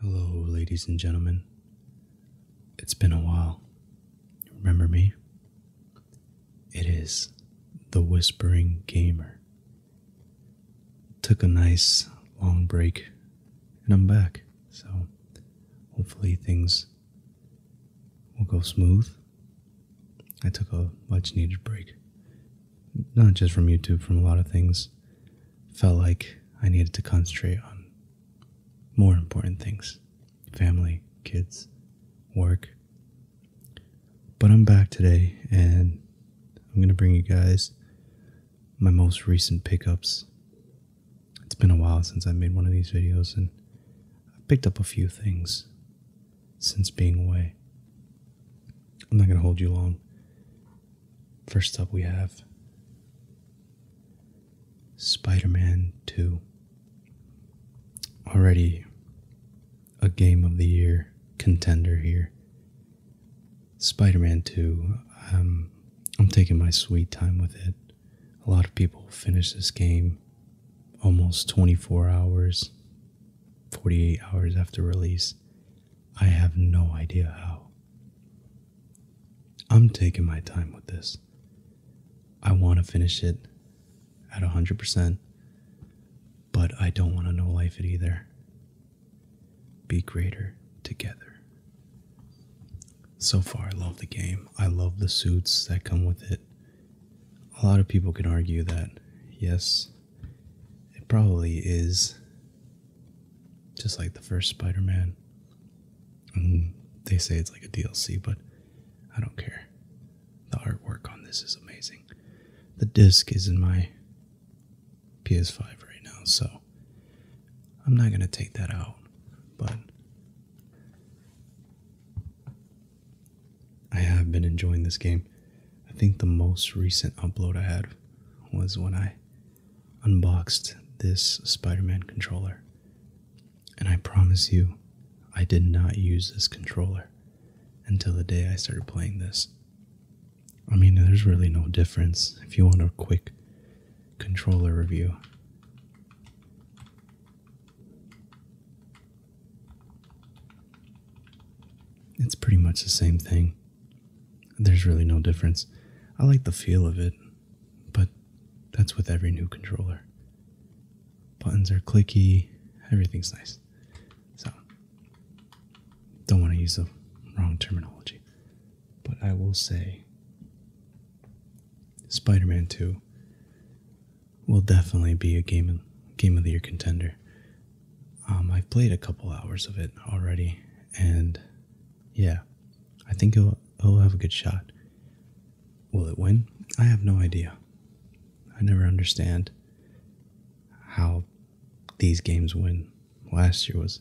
Hello, ladies and gentlemen. It's been a while. Remember me? It is the Whispering Gamer. Took a nice long break and I'm back. So hopefully things will go smooth. I took a much needed break, not just from YouTube, from a lot of things felt like I needed to concentrate on more important things family, kids, work. But I'm back today and I'm going to bring you guys my most recent pickups. It's been a while since I made one of these videos and I've picked up a few things since being away. I'm not going to hold you long. First up, we have Spider Man 2. Already a game of the year contender here. Spider Man 2, um, I'm taking my sweet time with it. A lot of people finish this game almost 24 hours, 48 hours after release. I have no idea how. I'm taking my time with this. I want to finish it at 100%, but I don't want to know life it either. Be greater together. So far, I love the game. I love the suits that come with it. A lot of people can argue that, yes, it probably is just like the first Spider Man. they say it's like a DLC, but I don't care. The artwork on this is amazing. The disc is in my PS5 right now, so I'm not going to take that out, but I have been enjoying this game. I think the most recent upload I had was when I unboxed this Spider Man controller. And I promise you, I did not use this controller until the day I started playing this. I mean, there's really no difference. If you want a quick controller review, it's pretty much the same thing. There's really no difference. I like the feel of it, but that's with every new controller. Buttons are clicky, everything's nice. So, don't want to use the wrong terminology, but I will say Spider Man 2 will definitely be a game, game of the year contender. Um, I've played a couple hours of it already, and yeah, I think it'll, have a good shot. Will it win? I have no idea. I never understand how these games win. Last year was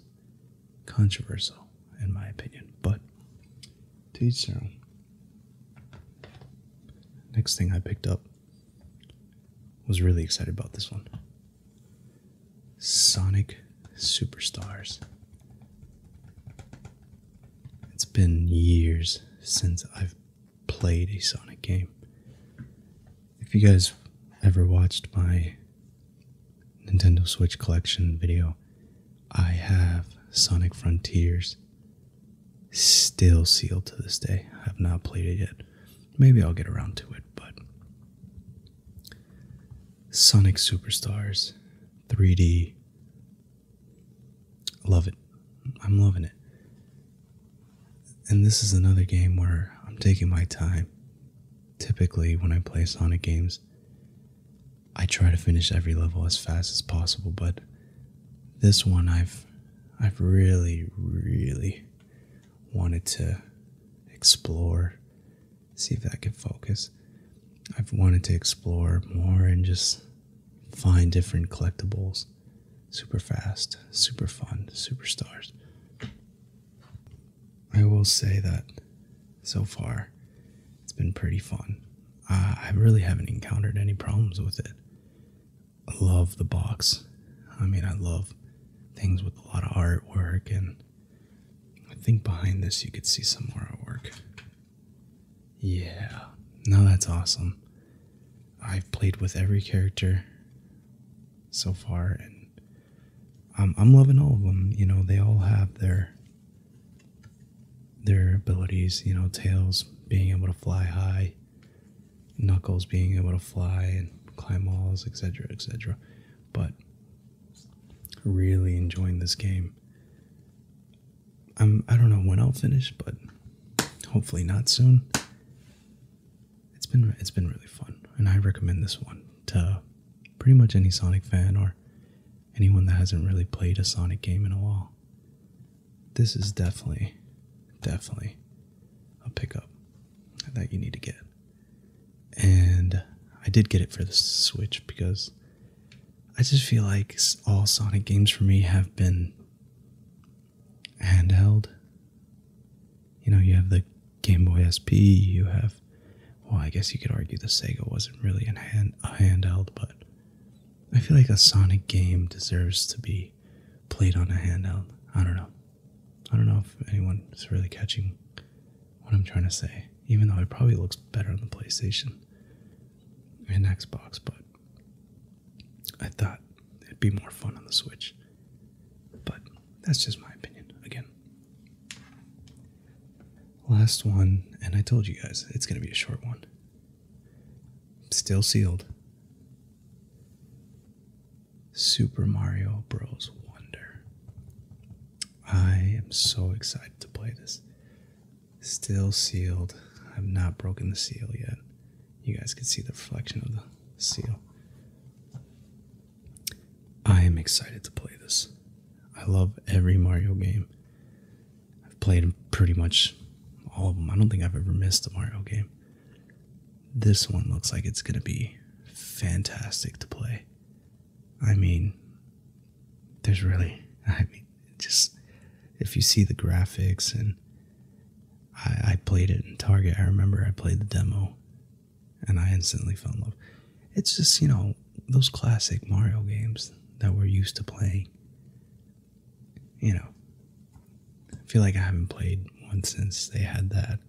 controversial, in my opinion, but to each Next thing I picked up was really excited about this one. Sonic Superstars. It's been years since I've played a Sonic game. If you guys ever watched my Nintendo Switch collection video, I have Sonic Frontiers still sealed to this day. I have not played it yet. Maybe I'll get around to it, but Sonic Superstars 3D. d love it. I'm loving it. And this is another game where I'm taking my time. Typically, when I play Sonic games, I try to finish every level as fast as possible, but this one I've I've really, really wanted to explore, see if I can focus. I've wanted to explore more and just find different collectibles super fast, super fun, superstars. I will say that so far it's been pretty fun. Uh, I really haven't encountered any problems with it love the box. I mean, I love things with a lot of artwork, and I think behind this you could see some more artwork. Yeah, no, that's awesome. I've played with every character so far, and I'm, I'm loving all of them. You know, they all have their their abilities. You know, Tails being able to fly high, Knuckles being able to fly and climb walls, etc., etc. But really enjoying this game. I'm I don't know when I'll finish, but hopefully not soon. It's been it's been really fun, and I recommend this one to pretty much any Sonic fan or anyone that hasn't really played a Sonic game in a while this is definitely, definitely a pickup that you need to get. And I did get it for the Switch because I just feel like all Sonic games for me have been handheld. You know, you have the Game Boy SP, you have, well, I guess you could argue the Sega wasn't really a, hand, a handheld, but I feel like a Sonic game deserves to be played on a handheld. I don't know. I don't know if anyone is really catching what I'm trying to say, even though it probably looks better on the PlayStation and Xbox, but I thought it'd be more fun on the Switch. But that's just my opinion again. Last one, and I told you guys it's going to be a short one. Still sealed. Super Mario Bros. Wonder. I am so excited to play this. Still sealed. I've not broken the seal yet. You guys can see the reflection of the seal. I am excited to play this. I love every Mario game. I've played pretty much all of them. I don't think I've ever missed a Mario game. This one looks like it's going to be fantastic to play. I mean, there's really, I mean, just if you see the graphics and I, I played it in Target. I remember I played the demo and I instantly fell in love. It's just, you know, those classic Mario games that we're used to playing you know, I feel like I haven't played one since they had that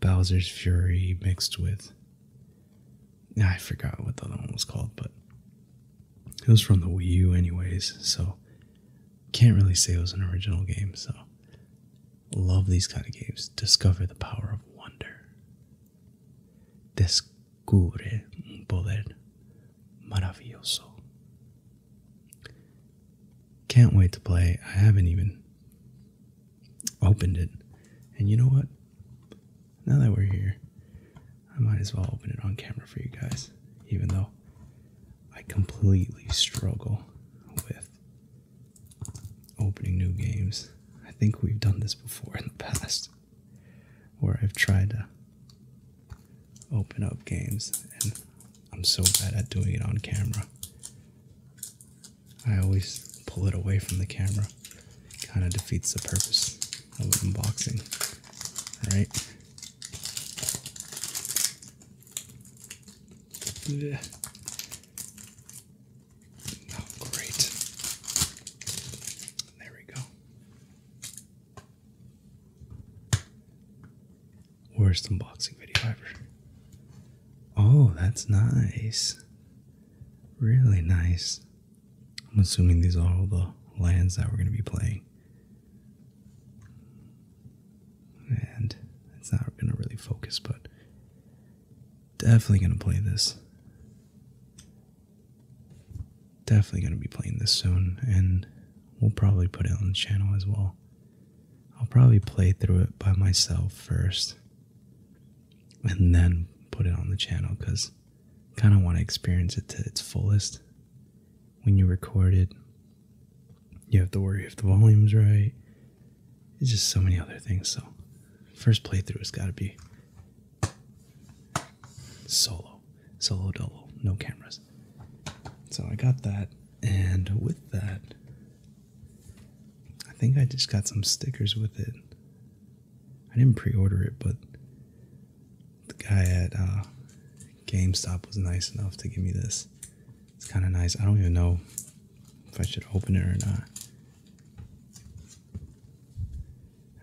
Bowser's Fury mixed with. I forgot what the other one was called, but it was from the Wii U, anyways, so can't really say it was an original game. So, love these kind of games. Discover the power of wonder descubre un poder maravilloso. Can't wait to play. I haven't even opened it. And you know what? Now that we're here, I might as well open it on camera for you guys, even though I completely struggle with opening new games. I think we've done this before in the past where I've tried to open up games and I'm so bad at doing it on camera. I always pull it away from the camera. Kind of defeats the purpose of unboxing, right? Oh, great. There we go. Worst unboxing video ever. Oh, that's nice. Really nice. I'm assuming these are all the lands that we're going to be playing. And it's not going to really focus, but Definitely gonna play this. Definitely gonna be playing this soon, and we'll probably put it on the channel as well. I'll probably play through it by myself first and then put it on the channel because kind of want to experience it to its fullest. When you record it, you have to worry if the volume's right. It's just so many other things. So, first playthrough has got to be Solo. Solo solo. No cameras. So I got that. And with that, I think I just got some stickers with it. I didn't pre order it, but the guy at uh, GameStop was nice enough to give me this. It's kind of nice. I don't even know if I should open it or not.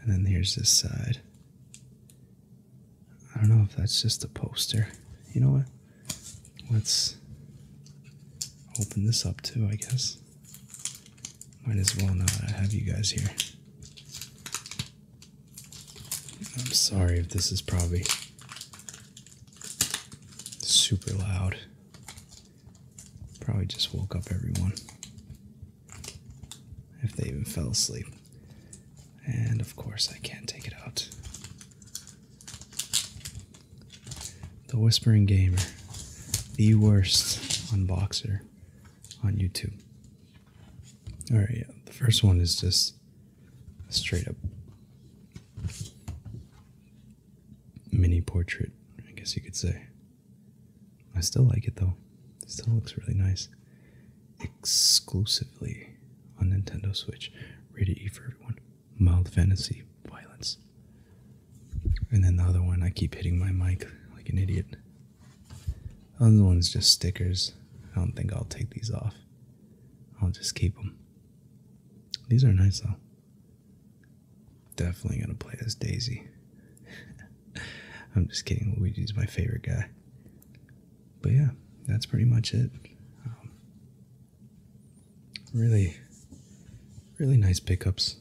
And then here's this side. I don't know if that's just a poster. You know what? Let's open this up too, I guess. Might as well not I have you guys here. I'm sorry if this is probably super loud. Probably just woke up everyone. If they even fell asleep. And of course, I can't take it out. The Whispering Gamer, the worst unboxer on YouTube. Alright, yeah, the first one is just a straight up mini portrait, I guess you could say. I still like it though. still looks really nice. Exclusively on Nintendo Switch. Rated E for everyone. Mild fantasy violence. And then the other one, I keep hitting my mic like an idiot. other one's just stickers. I don't think I'll take these off. I'll just keep them. These are nice though. Definitely gonna play as Daisy. I'm just kidding, Luigi's my favorite guy. But yeah, that's pretty much it. Um, really, really nice pickups.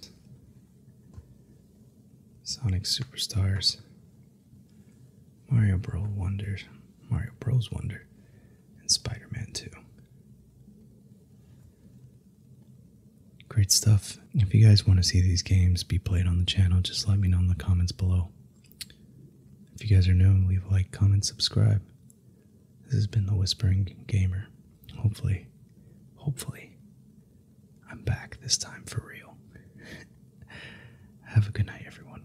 Sonic Superstars, Mario Bros. Wonder, Mario Bros. Wonder, and Spider Man 2. Great stuff. If you guys want to see these games be played on the channel, just let me know in the comments below. If you guys are new, leave a like, comment, subscribe. This has been The Whispering Gamer. Hopefully, hopefully, I'm back this time for real. Have a good night, everyone.